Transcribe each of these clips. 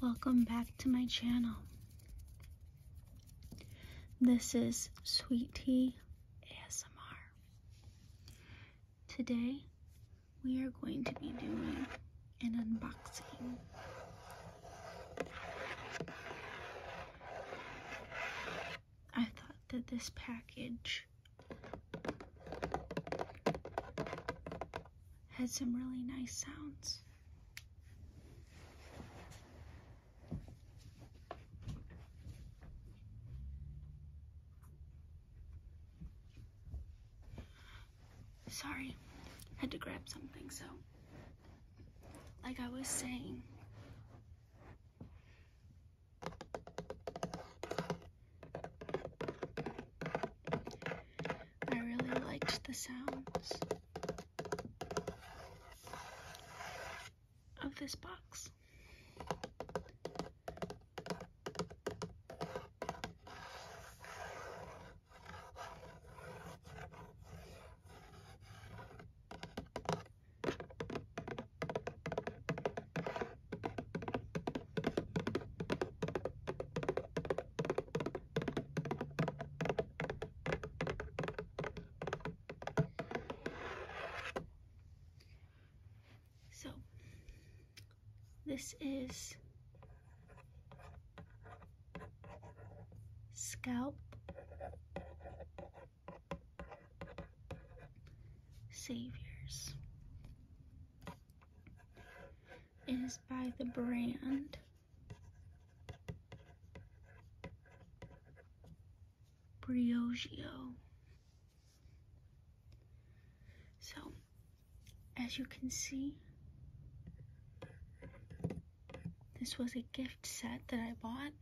Welcome back to my channel. This is Sweet Tea ASMR. Today, we are going to be doing an unboxing. I thought that this package had some really nice sounds. Sorry, had to grab something, so like I was saying, I really liked the sounds of this box. So this is scalp Saviors is by the brand Briogeo. So, as you can see, this was a gift set that I bought.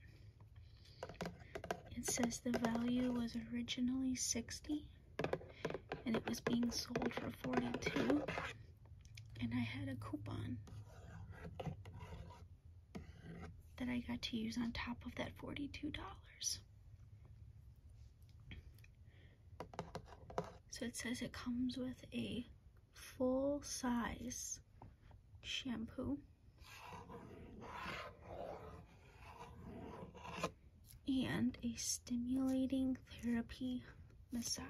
It says the value was originally 60 and it was being sold for 42 and I had a coupon that I got to use on top of that $42. So it says it comes with a full size shampoo and a stimulating therapy massage.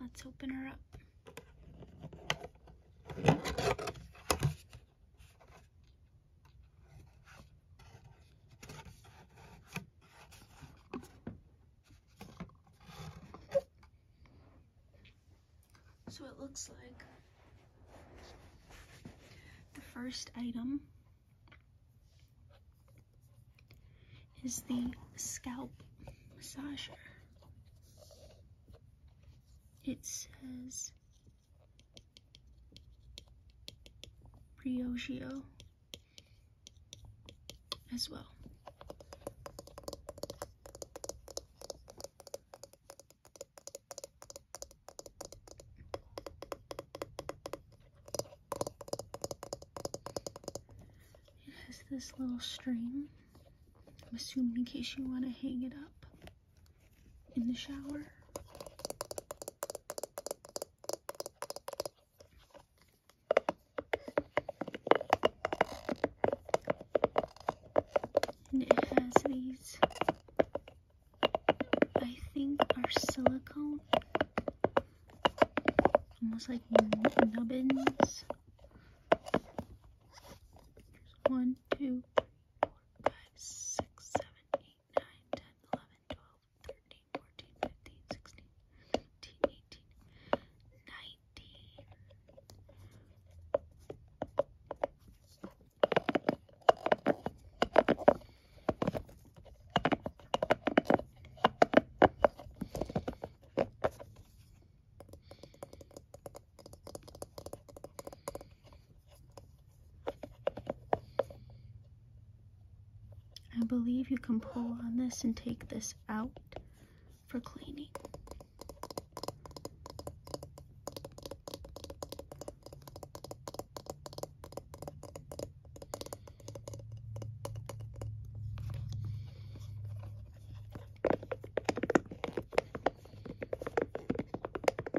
let's open her up. So it looks like the first item is the scalp massager. It says Briogeo as well. It has this little string. I'm assuming in case you want to hang it up in the shower it has these, I think are silicone, almost like nubbins. One, two, three, four, five, six, seven, eight, nine, ten, eleven, twelve. 13, 14, 15, 16, 17, 18, 19. I believe you can pull on this and take this out for cleaning.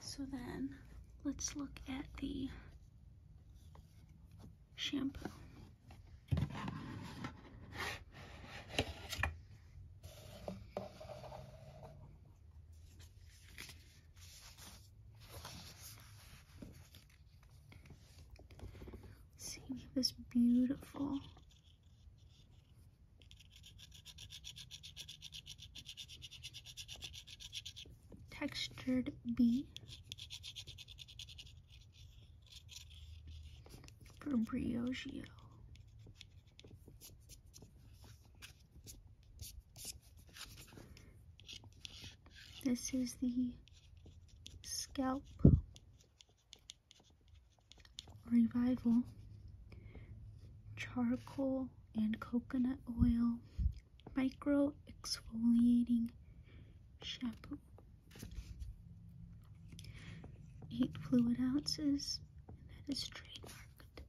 So then let's look at the shampoo. See this beautiful textured B from Briogeo. This is the scalp Revival, charcoal and coconut oil, micro exfoliating shampoo. 8 fluid ounces, and that is trademarked.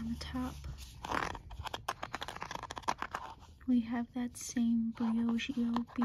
On the top, we have that same Briogeo B.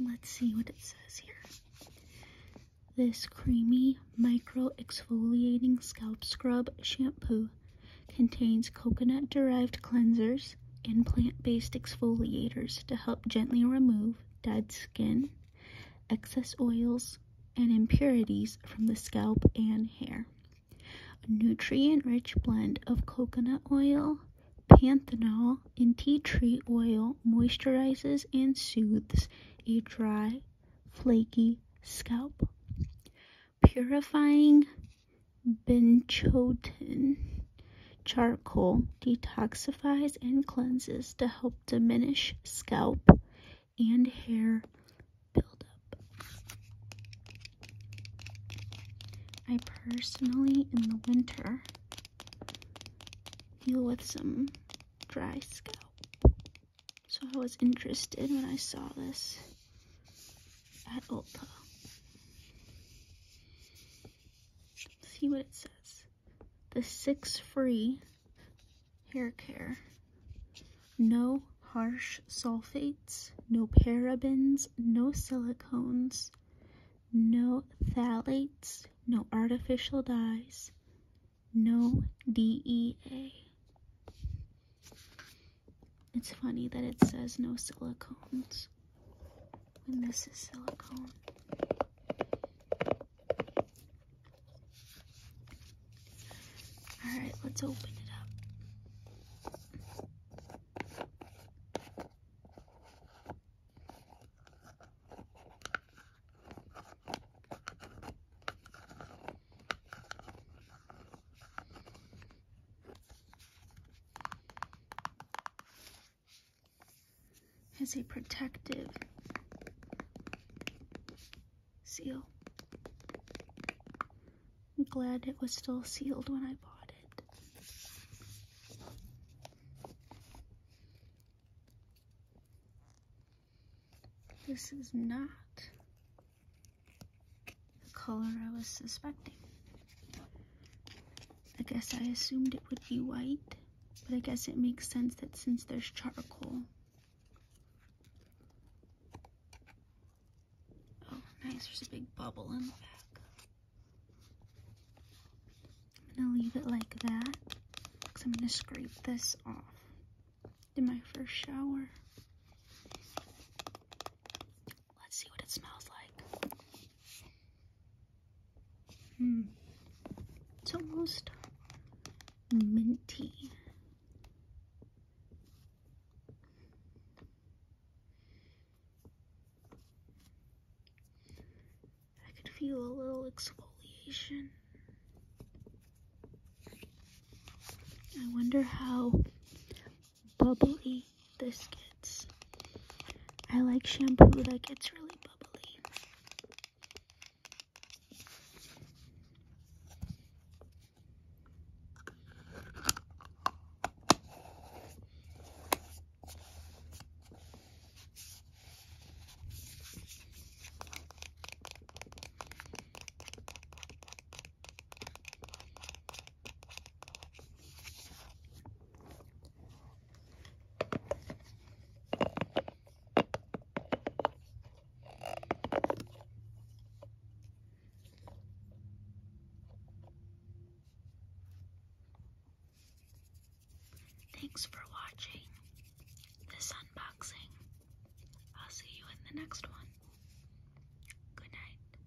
Let's see what it says here. This creamy micro exfoliating scalp scrub shampoo contains coconut derived cleansers, leaves plant-based exfoliators to help gently remove dead skin, excess oils, and impurities from the scalp and hair. A nutrient-rich blend of coconut oil, panthenol, and tea tree oil moisturizes and soothes a dry, flaky scalp. Purifying Binchotin charcoal detoxifies and cleanses to help diminish scalp and hair buildup. I personally, in the winter, deal with some dry scalp. So I was interested when I saw this at Ulta see what it says. The six free hair care. No harsh sulfates, no parabens, no silicones, no phthalates, no artificial dyes, no DEA. It's funny that it says no silicones when this is silicone. Alright, let's open it up is a protective seal. glad it was still sealed when I bought it. This is not the color I was suspecting. I guess I assumed it would be white, but I guess it makes sense that since there's charcoal. Oh, nice. There's a big bubble in the back. I'm going to leave it like that because I'm going to scrape this off in my first shower. Let's see what it smells like. Hmm. It's almost minty. I could feel a little exfoliation. I wonder how bubbly biscuits. I like shampoo that gets really bubbly. Thanks for watching this unboxing. I'll see you in the next one. Good night.